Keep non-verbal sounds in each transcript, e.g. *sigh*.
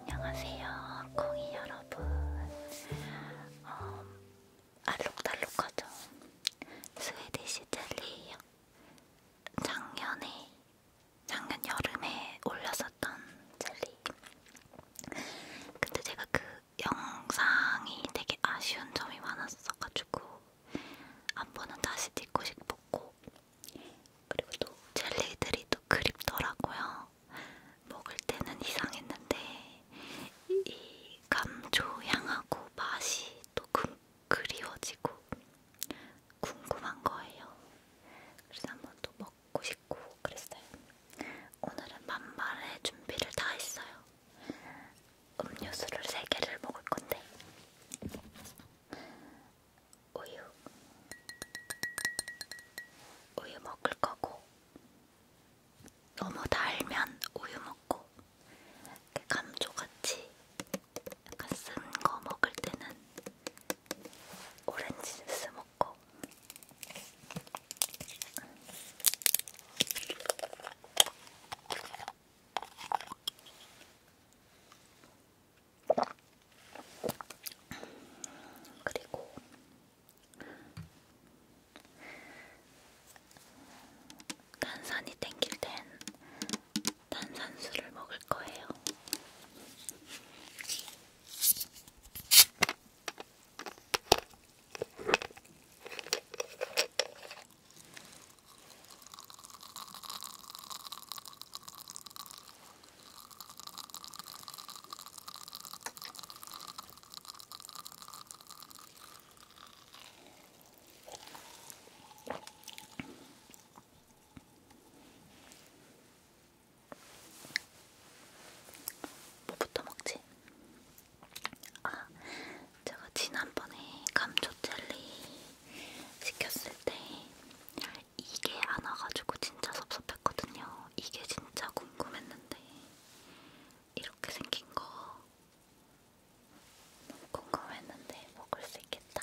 안녕하세요, 콩이 여러분. 어, 알록달록하죠? 스웨디시 젤리요. 작년에, 작년 여름에 올렸었던 젤리. 근데 제가 그 영상이 되게 아쉬운 점이 많았어가지고 한 번은 다시 찍고 싶었고 그리고 또 젤리들이 또 그립더라고요. 먹을 때는 이상했는데 이 감초향하고 맛이 또 그, 그리워지고 궁금한 거예요. 그래서 한 번 또 먹고 싶고 그랬어요. 오늘은 만발의 준비를 다 했어요. 음료수를 3개를 먹을 건데 우유 우유 먹을 거고 너무 달면 우유 먹고 감초같이 약간 쓴 거 먹을 때는 오렌지 주스 먹고 그리고 탄산이 땡길 땐 탄산수를 먹을 거예요. 뭐부터 먹지? 아, 제가 지난번에 감초 젤리 시켰을 때 이게 안 와가지고 진짜 섭섭했거든요. 이게 진짜 궁금했는데 이렇게 생긴 거 너무 궁금했는데 먹을 수 있겠다.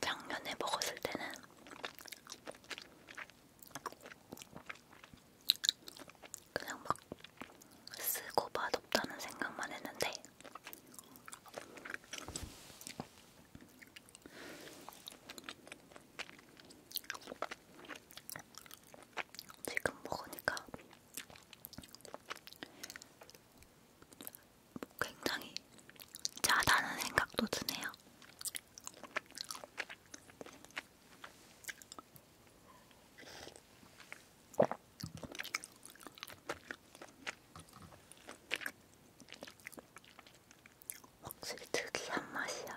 작년에 먹었을 때는 그냥 막 쓰고 맛없다는 생각만 했는데 지금 먹으니까 굉장히 짜다는 생각도 드네요. 확실히 특이한 맛이야.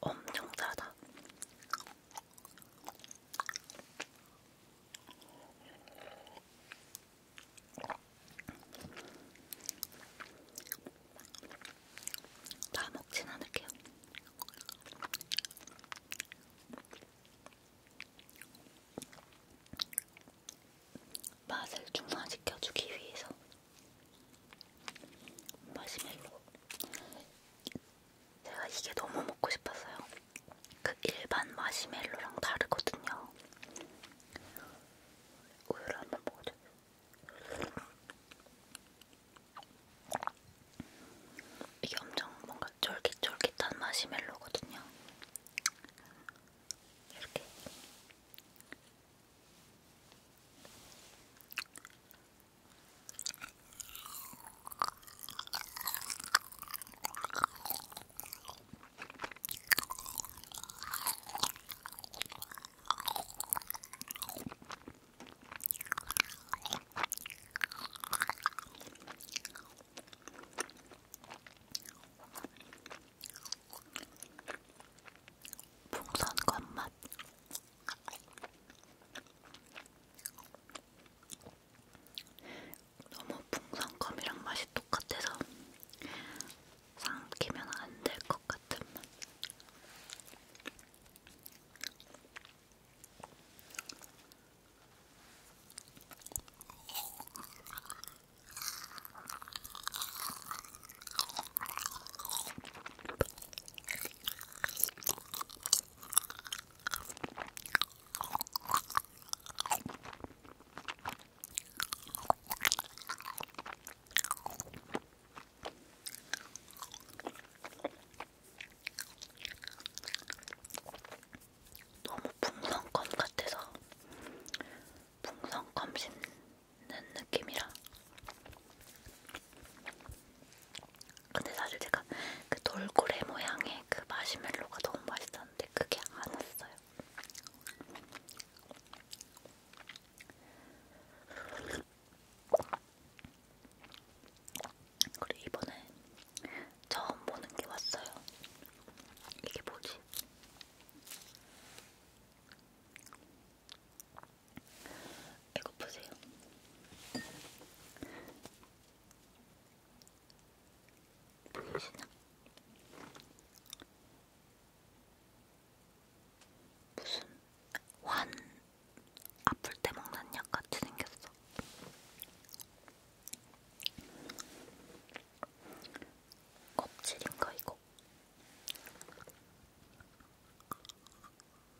엄청 싸다. 다 먹진 않을게요. 맛을 중화시켜주기 위해서 마시멜로. 제가 이게 너무 먹고 싶었어요. 그 일반 마시멜로랑 다르거든요. 우유를 한번 먹어줘. 이게 엄청 뭔가 쫄깃쫄깃한 마시멜로거든요. 이렇게 풍선껌 맛 너무 풍선껌이랑 맛이 똑같아서 삼키면 안 될 것 같은 맛. 너무 풍선껌 같아서 풍선껌 씹는 느낌이라. 근데 사실 제가 그 돌고래 모양의 그 마시멜로가 너무 맛있었는데 그게 안 왔어요. 그리고 이번에 처음 보는 게 왔어요. 이게 뭐지? 이거 보세요. 보이시나? 무슨 환 아플 때 먹는 약 같이 생겼어. 껍질인가 이거?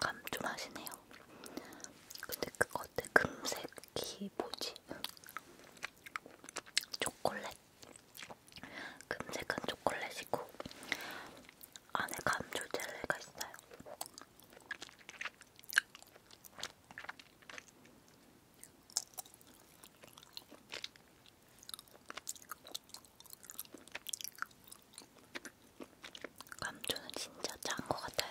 감쪽하시네요. 근데 그것들 금색이 뭐지? 초콜릿. 금색은 초콜릿이고 안에 감초 젤리가 있어요. 감초는 진짜 짠거 같아요.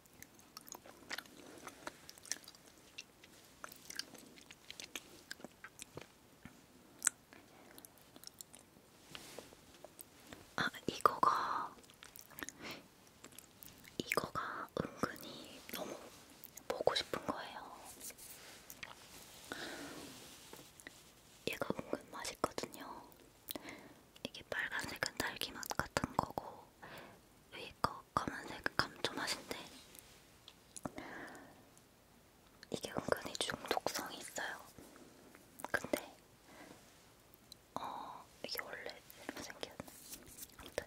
아, 이거가 이거가 은근히 너무 보고 싶은 거예요. 얘가 은근 맛있거든요. 이게 빨간색은 딸기맛 같은 거고 위에 거 검은색 감초 맛인데 이게 은근히 중독성이 있어요. 근데 어 이게 원래 이렇게 생겼네. 아무튼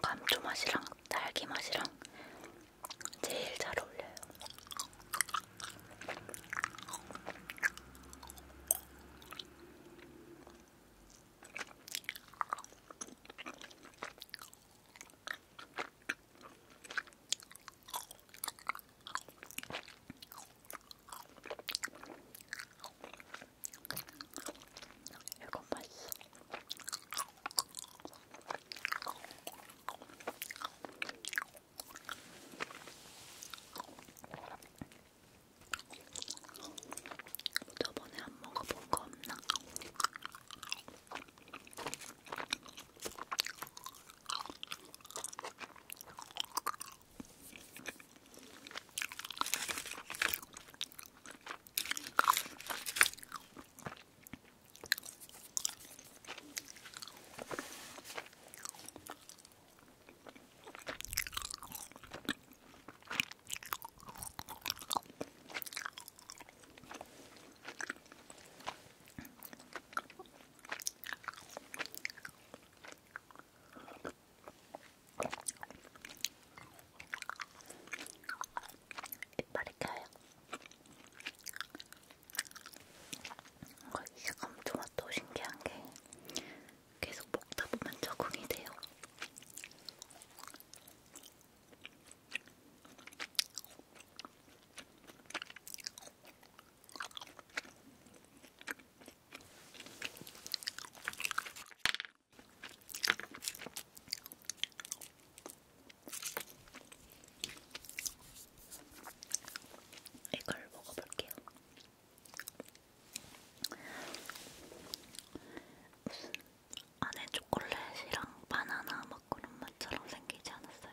감초 맛이랑 딸기 맛이랑 제일 잘 어울려요. 이건 맛있어. 저번에 안 먹어본 거 없나? 이빨이 껴요. 이 감초맛도 신기한 게 계속 먹다 보면 적응이 돼요. 이걸 먹어볼게요. 무슨 안에 초콜릿이랑 바나나 막 그런 맛처럼 생기지 않았어요?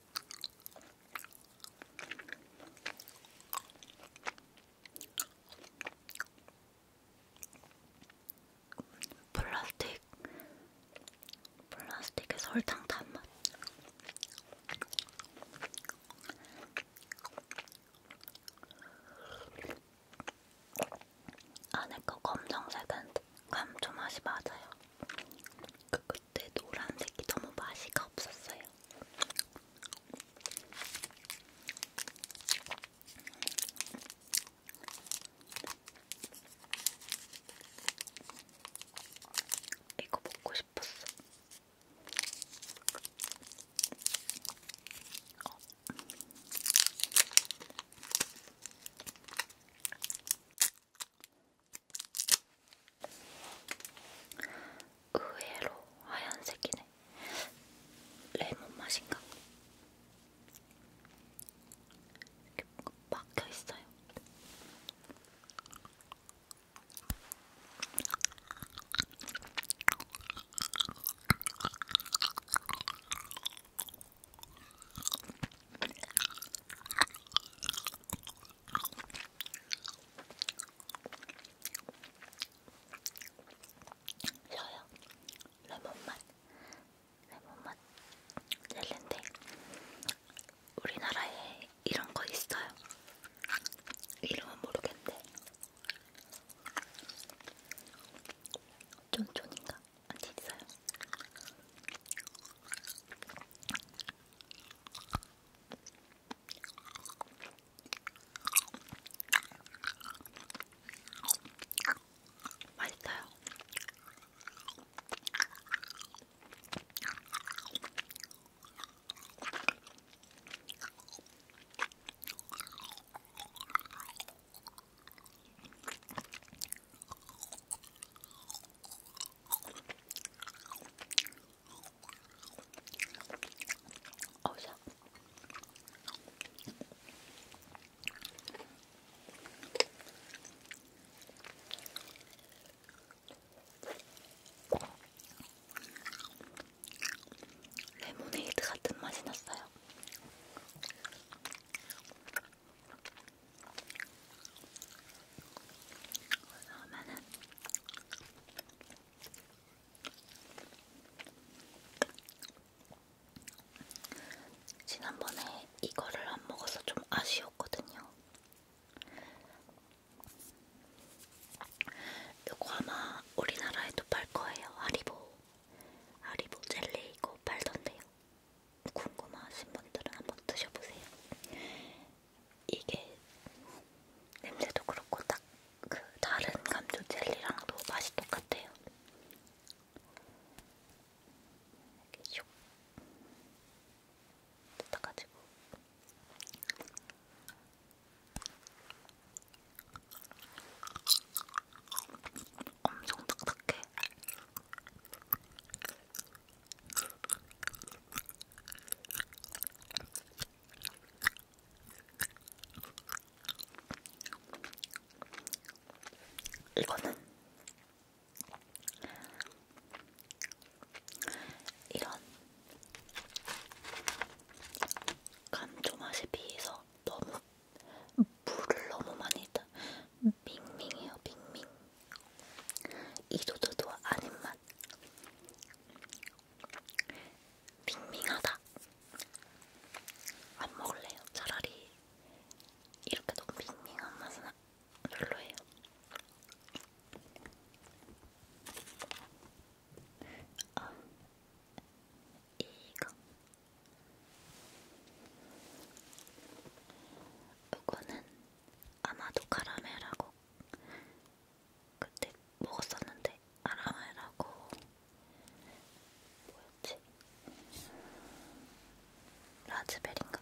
플라스틱 플라스틱의 설탕 단맛 안에 거 검정색은 감초 맛이 맞아요. 그 그때 노란색이 너무 맛이가 없었어요. 이거 먹고 싶었어. 어. 의외로 하얀색이네. 레몬 맛인가? 이렇게 막혀 있어요. 셔요. 레몬맛. 레몬맛 젤리인데 우리나라에 이런 거 있어요. 이름은 모르겠는데 쫀쫀인가? 안 있어요. 맛있어요. 어우 샤. 레모네이드 같은 맛이 났어요. 그러면은 지난번에 이거를 안 먹어서 좀 아쉬웠거든요. 이거 아마 우리나라에도 팔 거예요. 하리보, 하리보 젤리 이거 팔던데요. 궁금하신 분들은 한번 드셔보세요. 이게 냄새도 그렇고 딱 그 다른 감초 젤리랑도 맛이 똑같아요. 이렇게 슉 뜯어가지고 엄청 딱딱해. 이거는 이런 감초 맛에 비해서 너무 물을 너무 많이 다 밍밍해요 밍밍 이도도도 아닌 맛 밍밍하다 안 먹을래요 차라리 이렇게 너무 밍밍한 맛은 별로예요 아 이거 이거는 아마도 카라멜하고 그때 먹었었는데 아라마이라고 뭐였지? 라즈베리인가?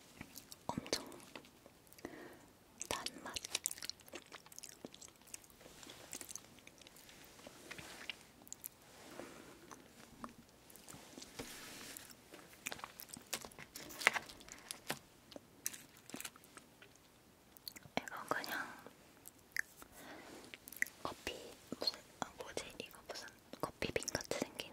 엄청 단맛. 이거 그냥 커피 무슨 아 뭐지 이거 무슨 커피빈 같이 생긴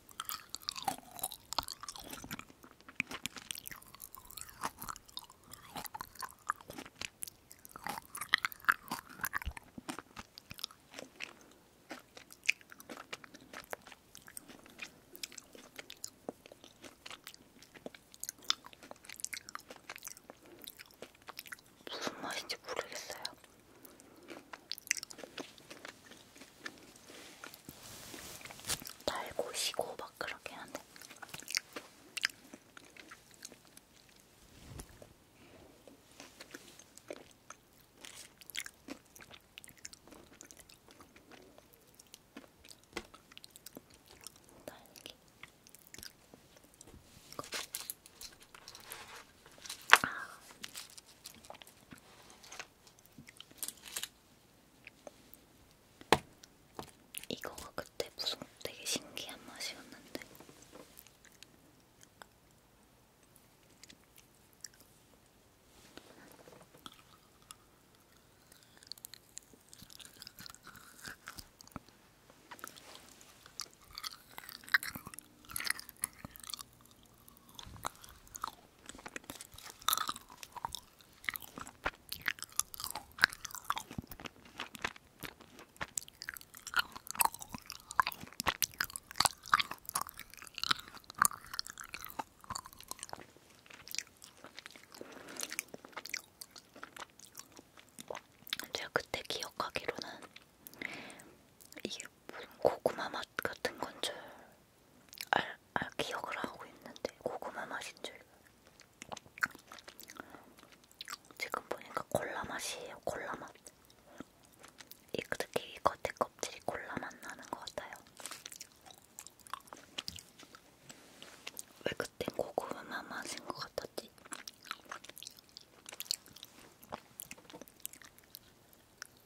무슨 맛인지 모르겠어요. 달고 시고 막 그렇긴 한데 딸기 아 이거가 그때 무슨 되게 신기한 맛이었는데 제가 그때 기억하기로는 이게 무슨 고구마 맛 같은 건줄 알, 알 기억을 하고 있는데 고구마 맛인 줄 지금 보니까 콜라 맛이에요 콜라 맛 이, 특히 이 겉에 껍질이 콜라 맛 나는 것 같아요 왜 그땐 고구마 맛인 것 같았지?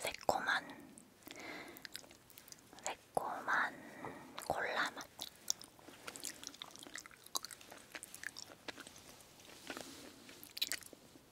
새콤한 새콤한 콜라 맛.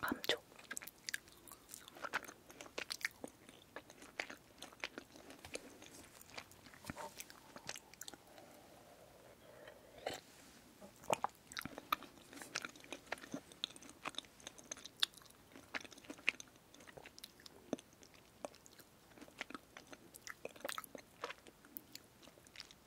감초.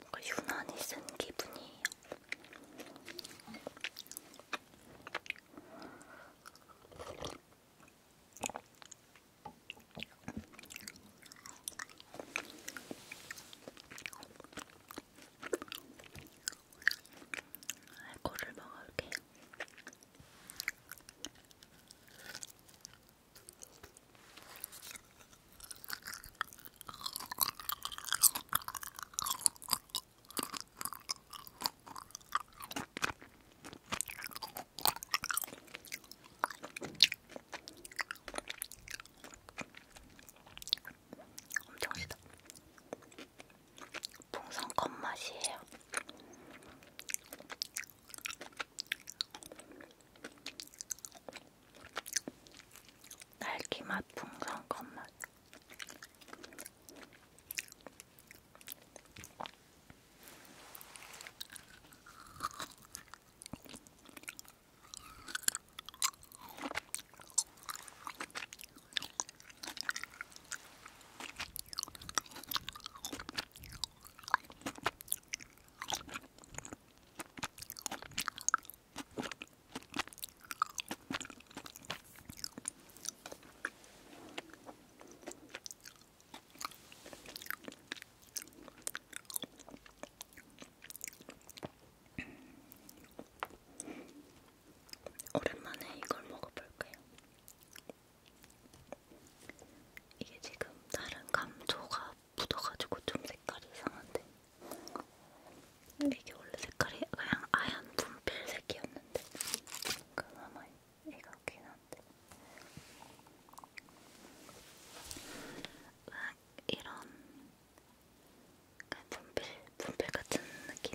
뭔가 유난히 쓴 기분이에요. 알코올을 먹어볼게요. 엄청 시다. 풍선 컵 맛이에요. 딸기 맛 풍선 컵 맛. 오랜만에 이걸 먹어볼게요. 이게 지금 다른 감초가 묻어가지고 좀 색깔이 이상한데 이게 원래 색깔이 그냥 아얀 분필색이었는데 그나마 얘가 웃긴 한데 이런 분필, 분필 같은 느낌?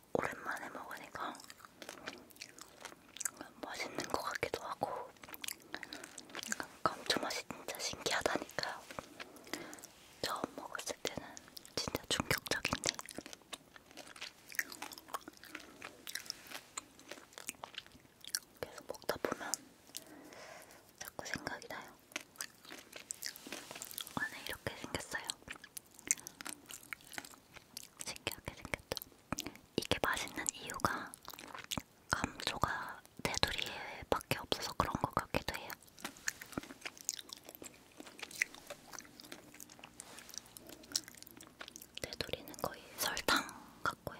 오랜만에 먹으니까 맛있는 것 같기도 하고 감초맛이 진짜 신기하다니까요. 처음 먹었을 때는 진짜 충격적인데 계속 먹다 보면 자꾸 생각이 나요. 안에 이렇게 생겼어요. 신기하게 생겼죠. 이게 맛있는 이유가 감초가 테두리에밖에 없어서 그런 것 같기도 해요. 테두리는 거의 설탕 같고요.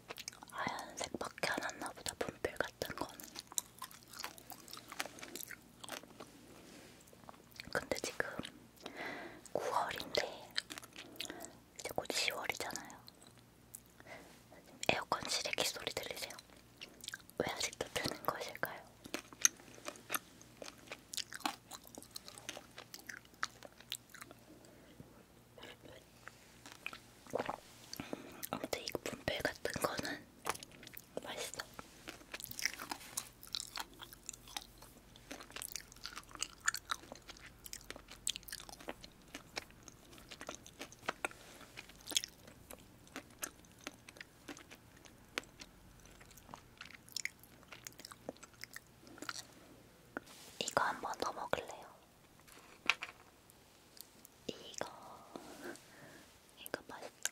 하얀색밖에 안 왔나보다 분필 같은 거는 근데 지금 9월인데 이제 곧 10월이잖아요 에어컨 실외기 소리 들리세요? 왜 아직도 트는 것일까요? 아무튼 이 분필 같은 거는 맛있어. 이거 한 번 더 먹을래요. 이거 이거 맛있다.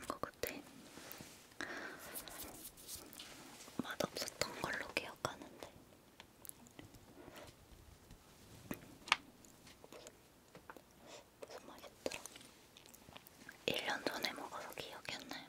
이거 그때 맛없었던 걸로 기억하는데 무슨 맛이었더라? 1년 전에 먹어서 기억이 안 나요.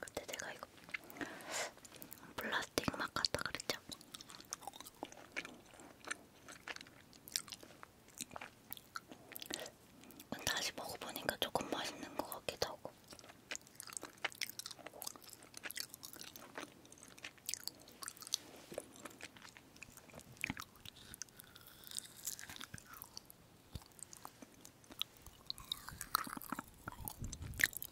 그때 제가 이거 플라스틱 막 같다 그랬죠? 다시 먹어보니까 조금 맛있는 것 같기도 하고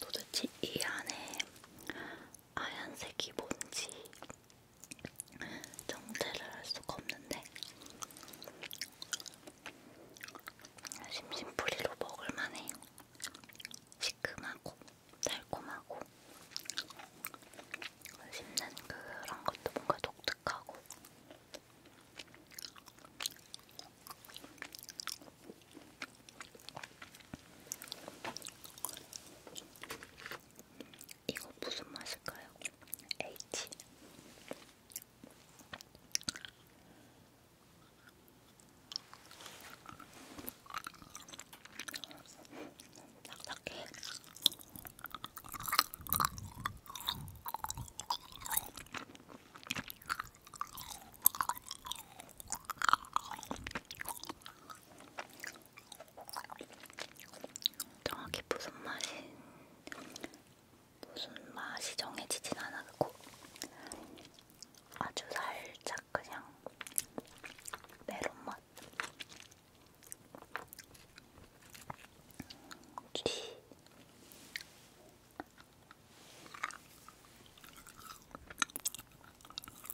도대체 이 안에 하얀색이 뭔지 정체를 알 수가 없는데 심심풀이로 먹을만해요. 시큼하고 달콤하고 씹는 그런 것도 뭔가 독특하고 이거 무슨 맛일까요? H 딱딱해 정확히 무슨 맛이 무슨 맛이 정해지진 않았고 아주 살짝 그냥 메론 맛. 티.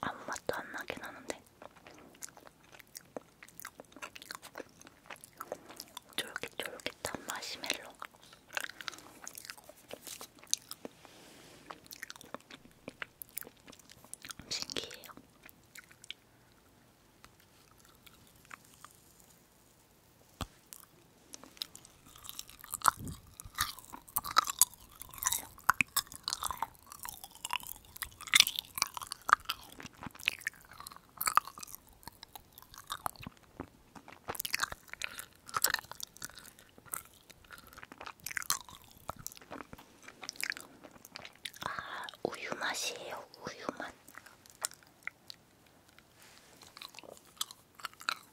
아무 맛도 안 나긴 하는데 쫄깃쫄깃한 마시멜로 신기해요. 아, 우유 맛이에요. 우유 맛.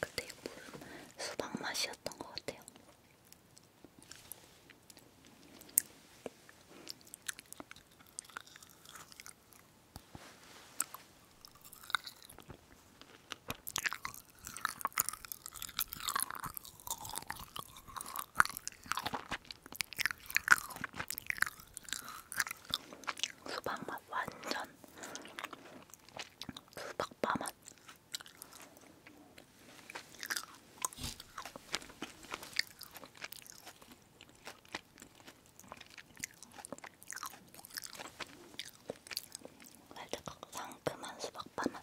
그때 물은 수박 맛이었던 것 같아요. 수박 맛 완전 수박바 맛. 살짝 상큼한 수박바 맛.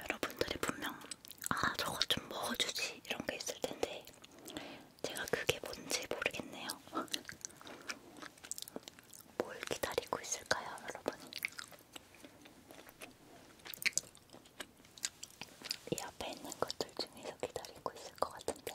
여러분들이 분명 아 저거 좀 먹어주지 이런 게 있을 텐데 제가 그게 뭔지 모르겠네요. *laughs* 뭘 기다리고 있을까요, 여러분? 이 앞에 있는 것들 중에서 기다리고 있을 것 같은데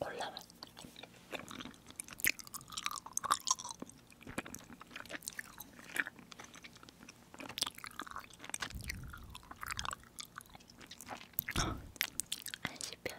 올라와. 안 씹혀요.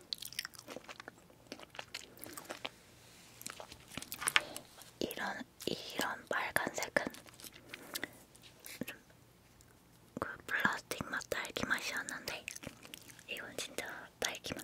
이런 이런 빨간색은 그 플라스틱 맛 딸기 맛이었는데 이건 진짜 딸기 맛.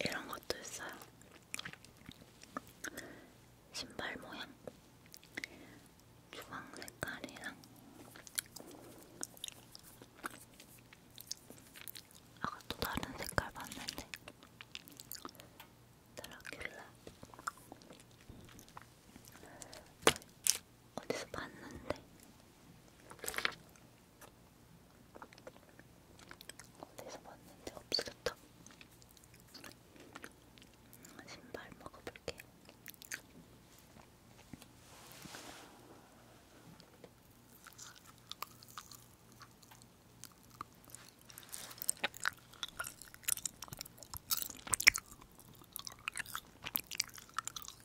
이런 것도 있어요. 신발 모양 주황 색깔이랑 아까 또 다른 색깔 봤는데 드라큘라 어디서 봤는데 어디서 봤는지 없어졌다. 신발 먹어볼게.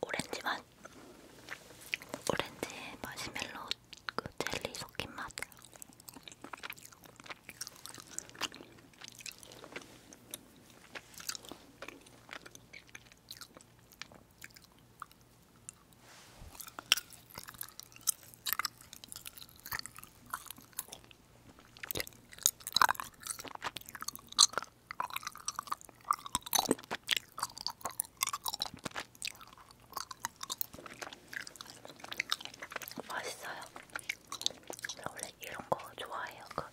오렌지 맛, 오렌지 마시멜로 그 젤리 섞인 맛. 맛있어요. 원래 이런 거 좋아해요. 그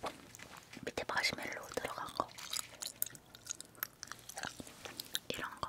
밑에 마시멜로 들어간 거. 이런 거.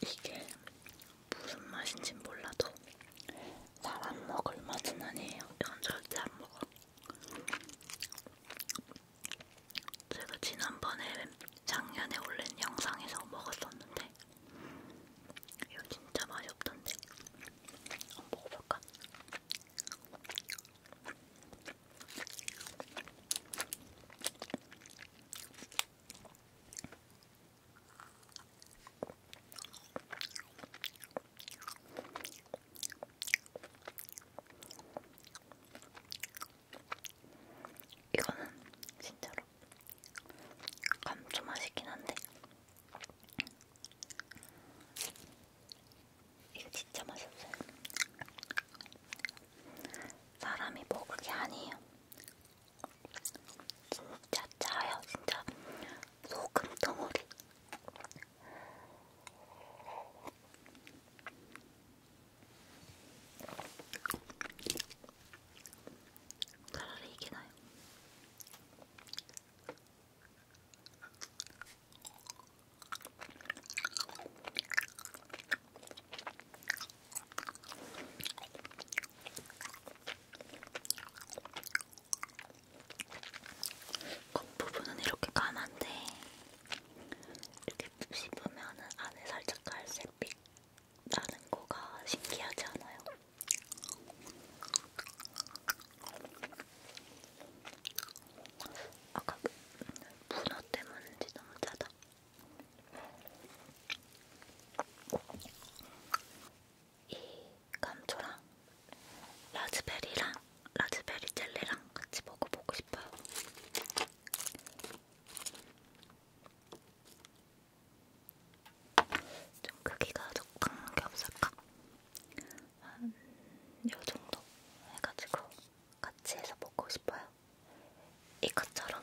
이게 무슨 맛인지 몰라도 사람 먹을 맛은 아니에요. 이건 절대 안 먹어. 제가 지난번에 작년에 올린 영상에서 먹었었는데 이거 진짜 맛이 없던데 한번 먹어볼까? 이거는 진짜로 감초 맛이긴 한데 이거 진짜 맛있어요. 사람이 먹을 게 아니에요. 진짜 짜요, 진짜 소금 덩어리. 차라리 이게 나요. 겉부분은 이렇게 까만데 이렇게 씹으면은 안에 살짝 갈색빛 나는 거가 신기하지 않아요? 아까 그 문어 때문인지 너무 짜다. 이 감초랑 라즈베리랑 라즈베리 젤리랑 같이 먹어보고 싶어요. 좀 크기가 적당한 게 없을까? 한 요정도 해가지고 같이 해서 먹고 싶어요. 이것처럼.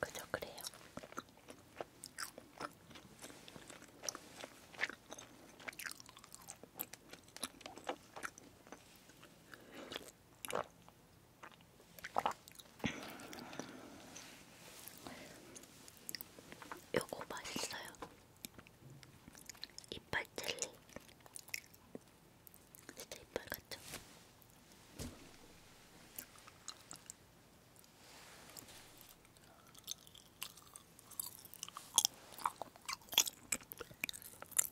그저 그래요. 요거 맛있어요. 이빨 젤리. 진짜 이빨 같죠?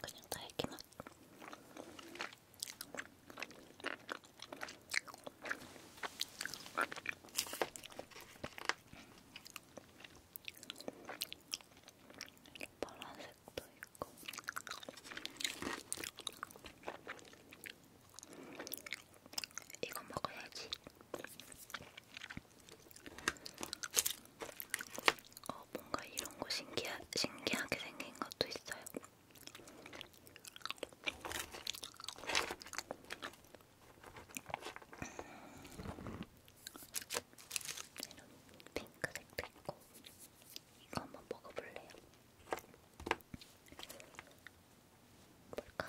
그냥 딸기 맛. 파란색도 있고. 이거 먹어야지. 어, 뭔가 이런 거 신기하, 신기하게 생긴 것도 있어요. 이런 핑크색도 있고 이거 한번 먹어볼래요? 뭘까?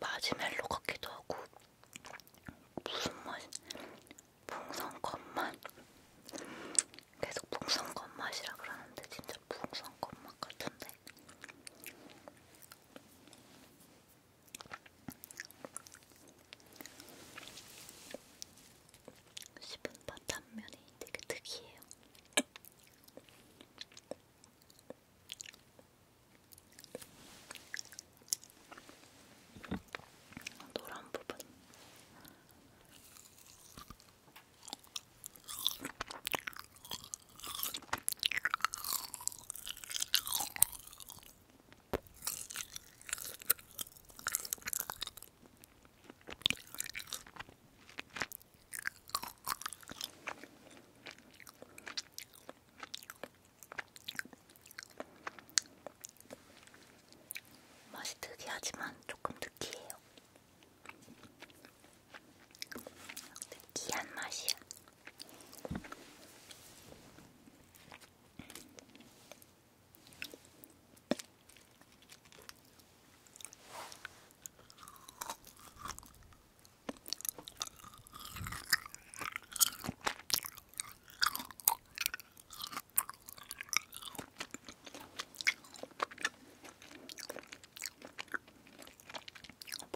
마지멜로 같기도 하고 무슨 맛? 풍선껌 맛? 계속 풍선껌 맛이라 그러는데 진짜 풍선껌 맛 같은데 시분바 단면이 되게 특이해요. 노란 부분. 맛이 특이하지만 조금 느끼해요. 느끼한 맛이야.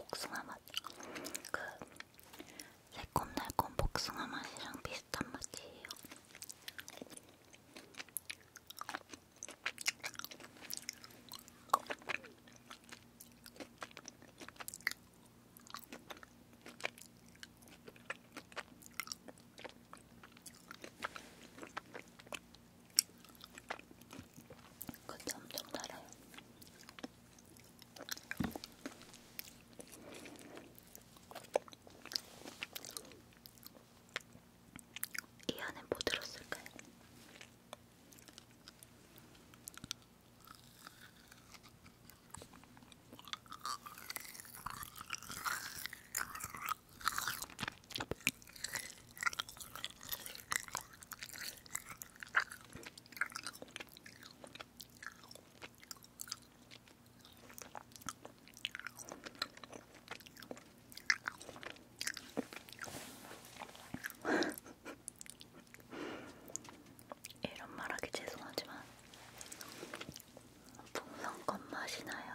복숭아 맛. 그 새콤달콤 복숭아 맛이랑 비슷한 맛이에요. 근데 그 엄청 달아요. 이 안에 뭐 들었을까요? *laughs* 이런 말하기 죄송하지만 풍선껌 맛이 나요.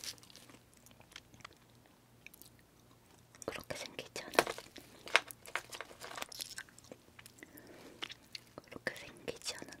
*laughs* 그렇게 생기잖아. 그렇게 생기지 않았나요?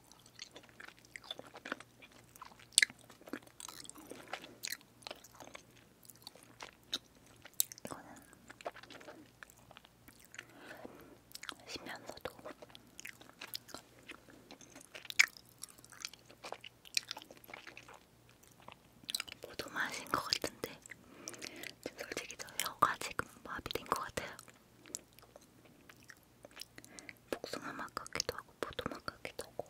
이거는 쉬면서도 모두 마신 것 같은데 솔직히 저 혀가 지금 마비된 것 같아요. 복숭아 맛 같기도 하고 포도 맛 같기도 하고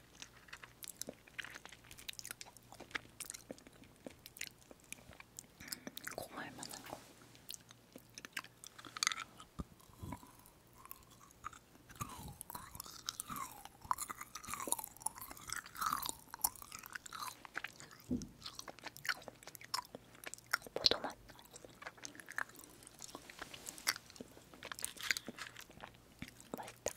고마울 만한 거. 포도맛. 맛있다.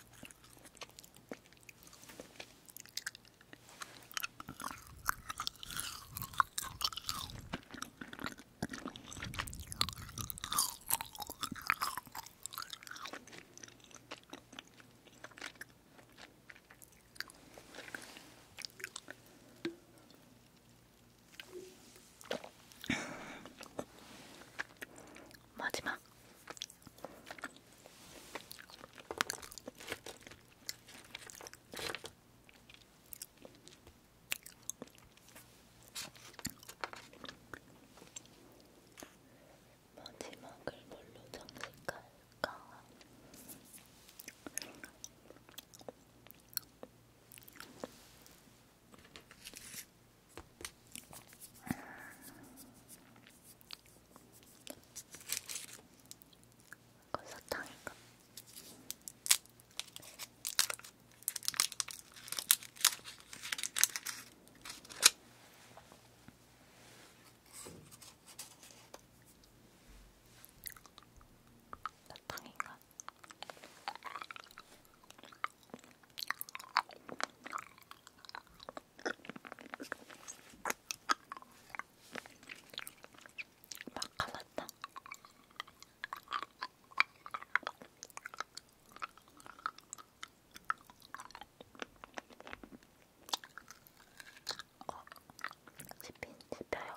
마지막 마지막을 뭘로 장식할까? 이건 사탕인가? 사탕인가? 마카마탕 어, 집힌 집혀요.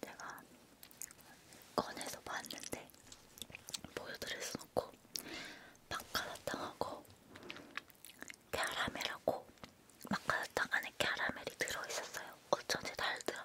제가 꺼내서 봤는데 보여드릴 수 없고 마카라탕하고 캐러멜하고 마카라탕 안에 캐러멜이 들어있었어요. 어쩐지 달더라.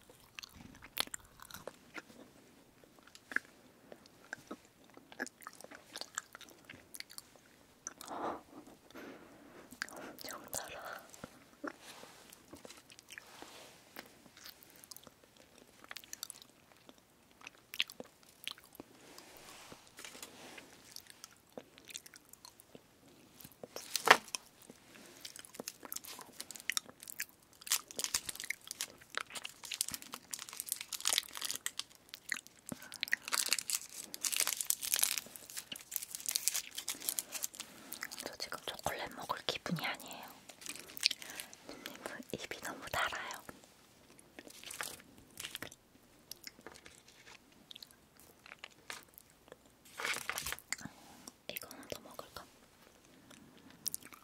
엄청 달아. 저 지금 초콜릿 먹을 기분이 아니에요. 입이 너무 달아요. 이거 하나 더 먹을까? 이거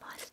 맛있어.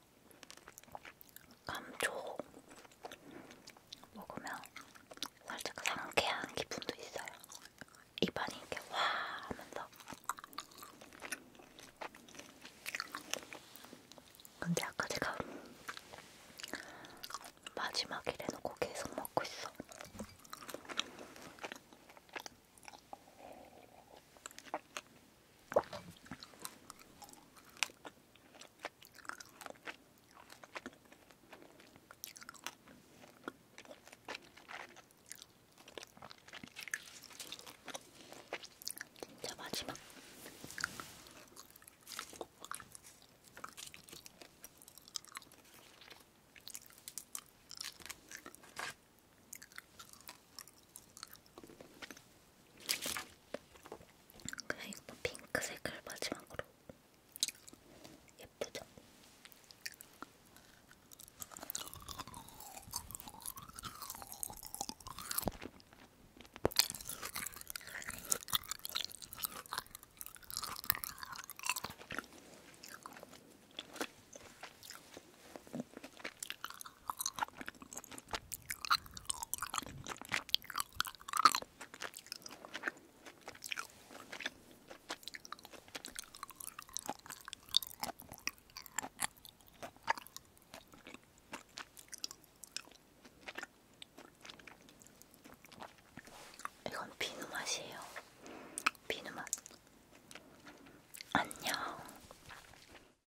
감초 먹으면 살짝 상쾌한 기분도 있어요. 입안이 이렇게 와 하면서. 근데 아까 제가 마지막이래 놓고 계속 먹고 있어. 진짜 마지막. 그냥 이거 핑크색을 마지막으로 예쁘죠? 이건 비누 맛이에요. 비누 맛. 안녕.